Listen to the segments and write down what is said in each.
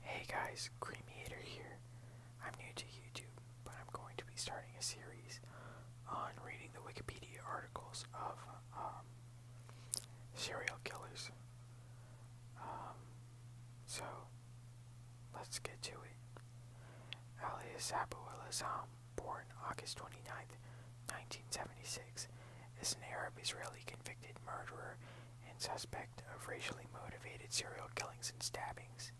Hey guys, Creamator here. I'm new to YouTube, but I'm going to be starting a series on reading the Wikipedia articles of um, serial killers. Um, so, let's get to it. Alias Abu al born August 29, 1976, is an Arab Israeli convicted murderer and suspect of racially motivated serial killings and stabbings.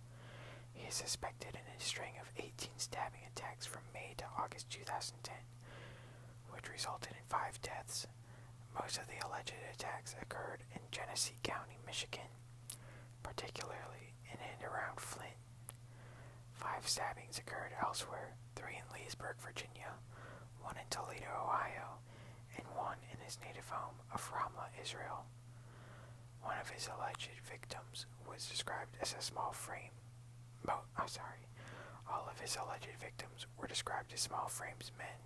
He is suspected in a string of 18 stabbing attacks from May to August 2010, which resulted in five deaths. Most of the alleged attacks occurred in Genesee County, Michigan, particularly in and around Flint. Five stabbings occurred elsewhere three in Leesburg, Virginia, one in Toledo, Ohio, and one in his native home of Ramla, Israel. One of his alleged victims was described as a small frame. oh, sorry. All of his alleged victims were described as small frames men,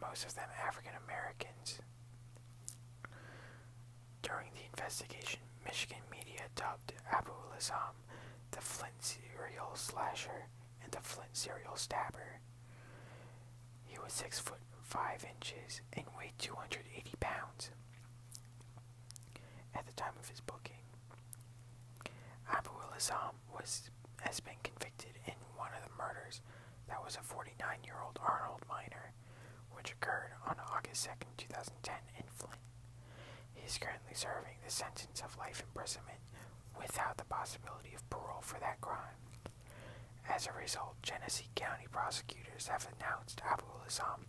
most of them African Americans. During the investigation, Michigan media dubbed Abu Lazam the Flint serial slasher and the Flint serial stabber. He was six foot five inches and weighed 280 pounds at the time of his booking. Abu Ilazam was has been convicted in one of the murders that was a 49-year-old Arnold Miner, which occurred on August second, two 2010 in Flint. He is currently serving the sentence of life imprisonment without the possibility of parole for that crime. As a result, Genesee County prosecutors have announced Abul Islam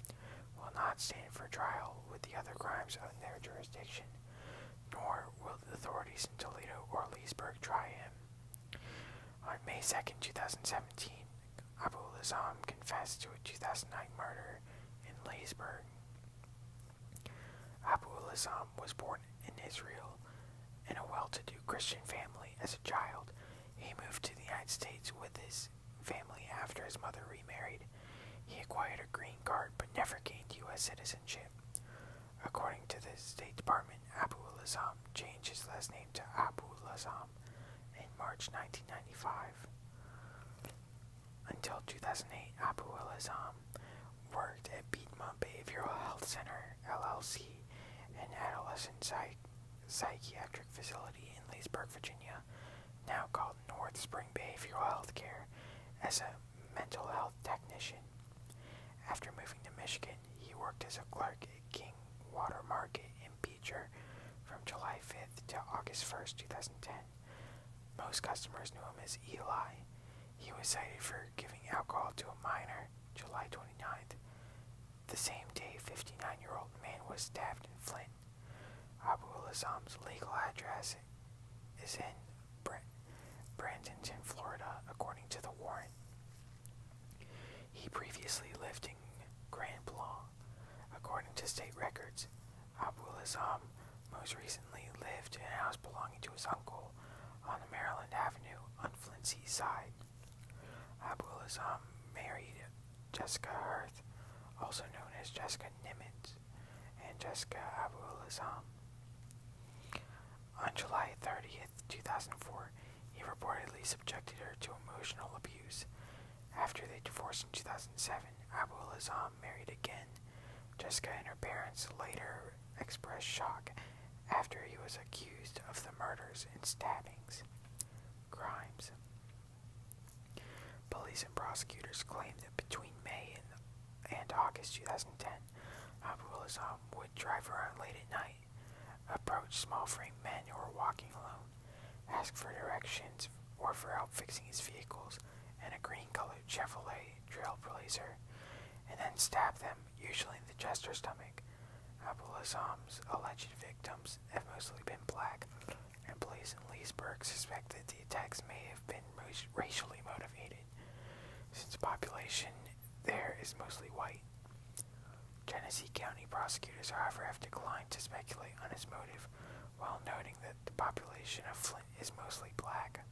will not stand for trial with the other crimes in their jurisdiction, nor will the authorities in Toledo or Leesburg try him. On May second, two 2017, Abul Islam confessed to a 2009 murder in Leesburg. Abu al was born in Israel in a well-to-do Christian family as a child. He moved to the United States with his family after his mother remarried. He acquired a green card but never gained U.S. citizenship. According to the State Department, Abu al changed his last name to Abu al in March 1995. Until 2008, Abu al worked at Piedmont Behavioral Health Center, LLC, an adolescent psychiatric facility in Leesburg, Virginia, now called North Spring Behavioral Health Care, as a mental health technician. After moving to Michigan, he worked as a clerk at King Water Market in Beecher from July 5th to August 1st, 2010. Most customers knew him as Eli. He was cited for giving alcohol to a minor July 29th. The same day, 59-year-old man was stabbed in Flint. Abu Lazam's legal address is in in Florida, according to the warrant. He previously lived in Grand Blanc, according to state records. Abul Azam most recently lived in a house belonging to his uncle on the Maryland Avenue on Flint's East Side. Abul Azam married Jessica Hirth, also known as Jessica Nimitz, and Jessica Abul Azam. On July 30th, 2004, he reportedly subjected her to emotional abuse. After they divorced in 2007, Abul Azam mom married again. Jessica and her parents later expressed shock after he was accused of the murders and stabbings. Crimes. Police and prosecutors claim that between May and, and August 2010, Abdul Azam would drive around late at night, approach small frame men who were walking alone, ask for directions or for help fixing his vehicles, and agreeing color Chevrolet trailblazer, and then stab them, usually in the chest or stomach. Abulazam's alleged victims have mostly been black, and police in Leesburg suspect that the attacks may have been racially motivated, since the population there is mostly white. Tennessee County prosecutors, however, have declined to speculate on his motive while noting that the population of Flint is mostly black.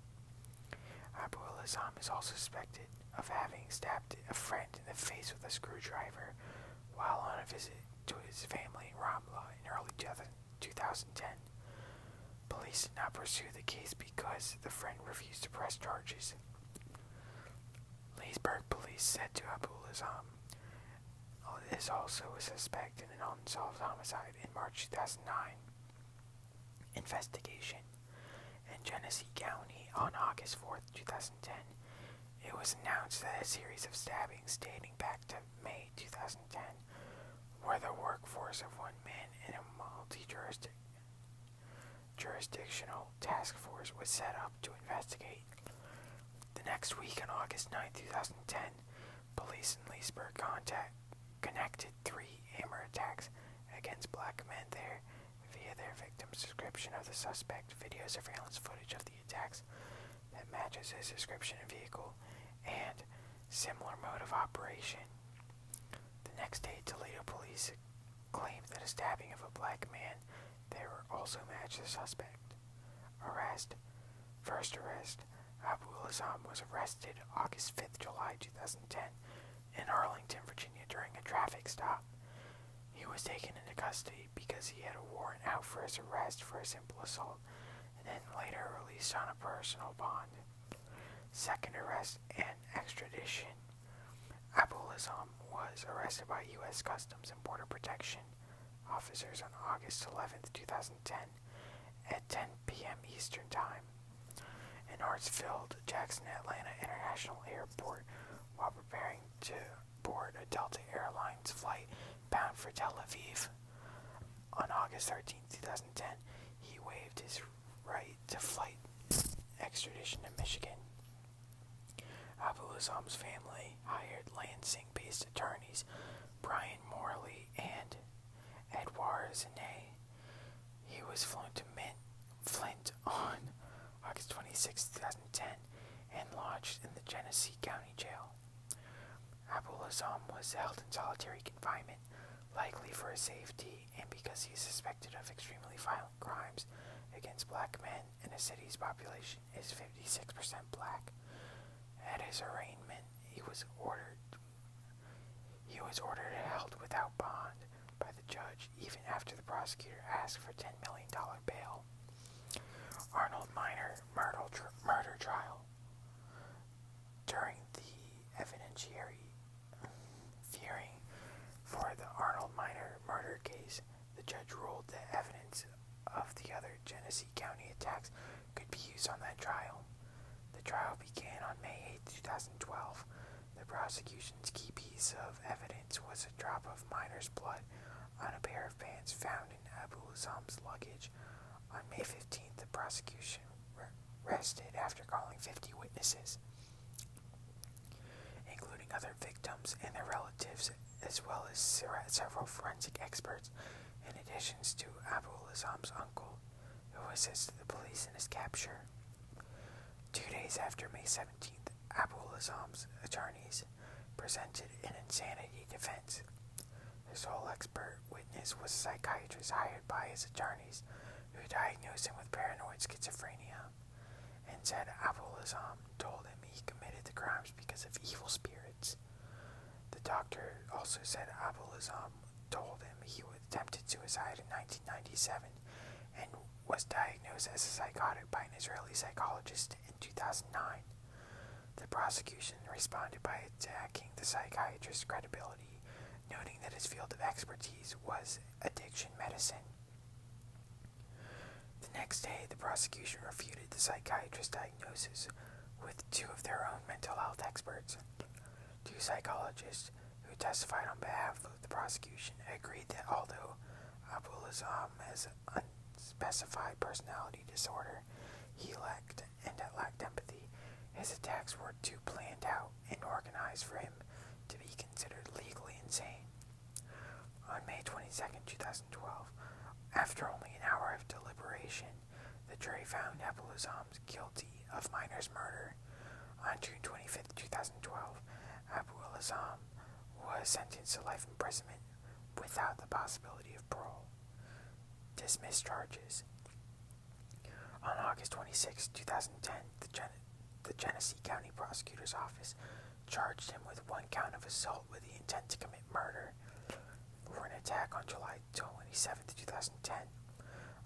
Abu al Azam is also suspected of having stabbed a friend in the face with a screwdriver while on a visit to his family in Ramla in early 2010. Police did not pursue the case because the friend refused to press charges. Leesburg police said to Abu al Azam, Oh, is also a suspect in an unsolved homicide in March 2009. Investigation In Genesee County on August 4, 2010, it was announced that a series of stabbings dating back to May 2010 were the work force of one man in a multi-jurisdictional task force was set up to investigate. The next week, on August 9, 2010, Police in Leesburg contact, connected three hammer attacks against black men there via their victim's description of the suspect, video surveillance footage of the attacks that matches his description and vehicle, and similar mode of operation. The next day, Toledo police claimed that a stabbing of a black man there also matched the suspect. Arrest. First arrest. Abul Azam was arrested August 5th, July 2010 in Arlington, Virginia during a traffic stop. He was taken into custody because he had a warrant out for his arrest for a simple assault and then later released on a personal bond. Second arrest and extradition. Abul Azam was arrested by U.S. Customs and Border Protection officers on August eleventh, two 2010, at 10 p.m. Eastern Time. In Hartsfield, Jackson Atlanta International Airport, while preparing to board a Delta Airlines flight bound for Tel Aviv. On August thirteenth, two 2010, he waived his right to flight extradition to Michigan. Abu Azam's family hired Lansing based attorneys Brian Morley, and Edward Zanet. He was flown to Flint on August twenty sixth, 2010, and lodged in the Genesee County Jail. Abul Azam was held in solitary confinement, likely for his safety and because he is suspected of extremely violent crimes against black men in the city's population is 56% black. At his arraignment, he was ordered he was ordered held without bond by the judge even after the prosecutor asked for $10 million bail. Arnold Minor murder, trial. During the evidentiary hearing for the Arnold Minor murder case, the judge ruled that evidence of the other Genesee County attacks could be used on that trial. The trial began on May 8, 2012. The prosecution's key piece of evidence was a drop of miner's blood on a pair of pants found in Abu Azam's luggage. On May 15, the prosecution rested after calling 50 witnesses, including other victims and their relatives as well as several forensic experts, in addition to Abul Azam's uncle, who assisted the police in his capture. Two days after May 17th, Abul Azam's attorneys presented an insanity defense. The sole expert witness was a psychiatrist hired by his attorneys who diagnosed him with paranoid schizophrenia and said Abul Azam told him he committed the crimes because of evil spirits. The doctor also said Abulazam told him he attempted suicide in 1997 and was diagnosed as a psychotic by an Israeli psychologist in 2009. The prosecution responded by attacking the psychiatrist's credibility, noting that his field of expertise was addiction medicine. The next day, the prosecution refuted the psychiatrist's diagnosis with two of their own mental health experts. Two psychologists who testified on behalf of the prosecution agreed that although La'zam has unspecified personality disorder, he lacked and lacked empathy. His attacks were too planned out and organized for him to be considered legally insane. On May 22, 2012, after only an hour of deliberation, the jury found Abu-Lazam guilty of Miner's murder. On June 25, 2012, Abu-Lazam was sentenced to life imprisonment without the possibility of parole. Dismissed charges. On August 26, 2010, the Genesee County Prosecutor's Office charged him with one count of assault with the intent to commit murder for an attack on July 27, 2010.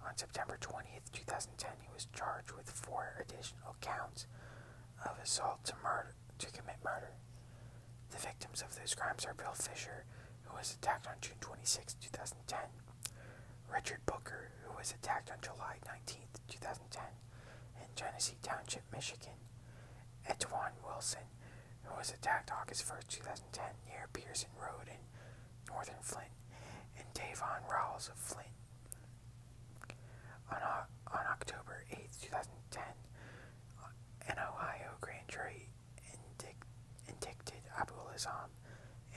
On September 20, 2010, he was charged with four additional counts of assault to murder to commit murder. The victims of those crimes are Bill Fisher, who was attacked on June 26, 2010, Richard Booker, who was attacked on July 19, 2010, in Tennessee Township, of Michigan. Etwan Wilson, who was attacked August first, two 2010, near Pearson Road in northern Flint, and Davon Rawls of Flint. On, on October eighth, two 2010, an Ohio grand jury indict, indicted Abul Azam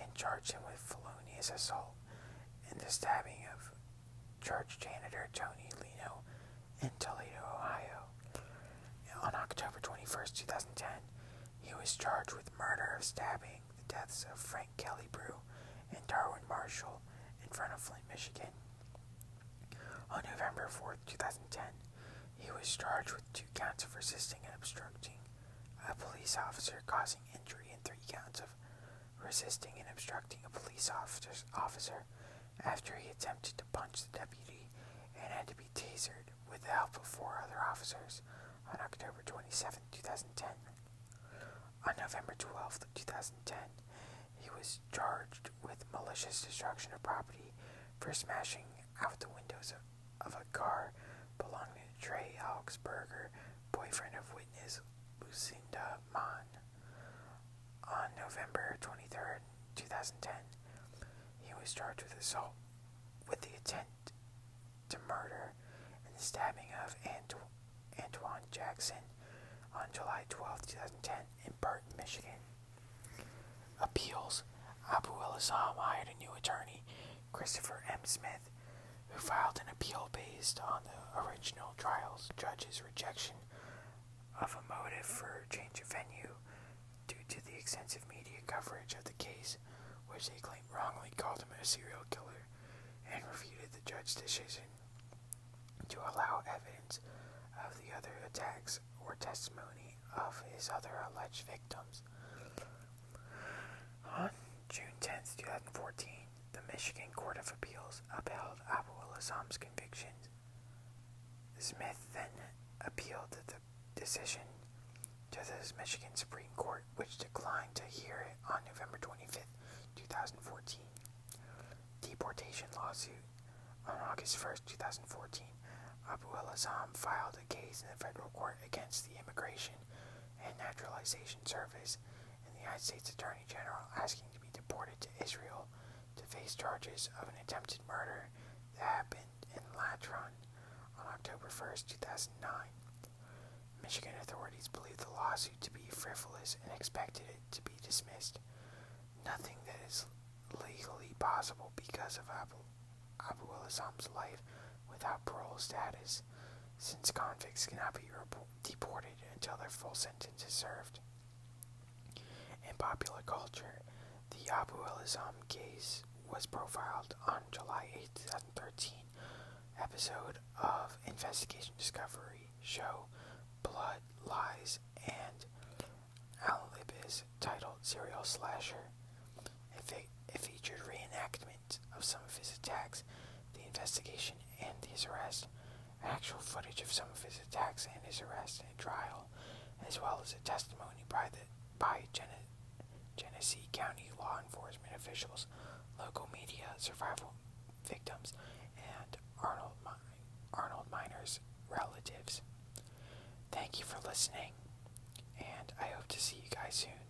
and charged him with felonious assault and the stabbing of church janitor Tony Lino in Toledo, Ohio. On October twenty first, 2010, he was charged with murder of stabbing the deaths of Frank Kelly Brew and Darwin Marshall in front of Flint, Michigan. On November fourth, two 2010, he was charged with two counts of resisting and obstructing a police officer causing injury and three counts of resisting and obstructing a police officer after he attempted to punch the deputy and had to be tasered with the help of four other officers on October 27, 2010. On November 12, 2010, he was charged with malicious destruction of property for smashing out the windows of, a car belonging to Trey Augsburger, boyfriend of witness Lucinda Mann. On November twenty-third, two 2010, he was charged with assault with the intent to murder and the stabbing of Anto Antoine Jackson on July twelfth, two 2010 in Burton, Michigan. Appeals Abu El Assam hired a new attorney, Christopher M. Smith, who filed an appeal based on the original trial's judge's rejection of a motive for change of venue due to the extensive media coverage of the case, which they claim wrongly called him a serial killer, and refuted the judge's decision to allow evidence of the other attacks or testimony of his other alleged victims. On June 10, 2014, the Michigan Court of Appeals upheld Abu al Assam's convictions. Smith then appealed the decision to the Michigan Supreme Court, which declined to hear it on November twenty fifth, 2014. Deportation lawsuit. On August first, two 2014, Abu al Assam filed a case in the federal court against the Immigration and Naturalization Service and the United States Attorney General asking to be deported to Israel to face charges of an attempted murder that happened in Latron on October 1st, 2009. Michigan authorities believe the lawsuit to be frivolous and expected it to be dismissed. Nothing that is legally possible because of Abu, al Abu life without parole status, since convicts cannot be deported deported until their full sentence is served. In popular culture, the Abu al-Azam case was profiled on July 8, 2013 episode of Investigation Discovery show Blood, Lies, and Alibis titled Serial Slasher. It, fe it featured reenactment of some of his attacks, the investigation, and his arrest, actual footage of some of his attacks and his arrest and trial, as well as a testimony by, the, by Genesee County law enforcement officials, local media, survival victims, and Arnold, Arnold Miner's relatives. Thank you for listening, and I hope to see you guys soon.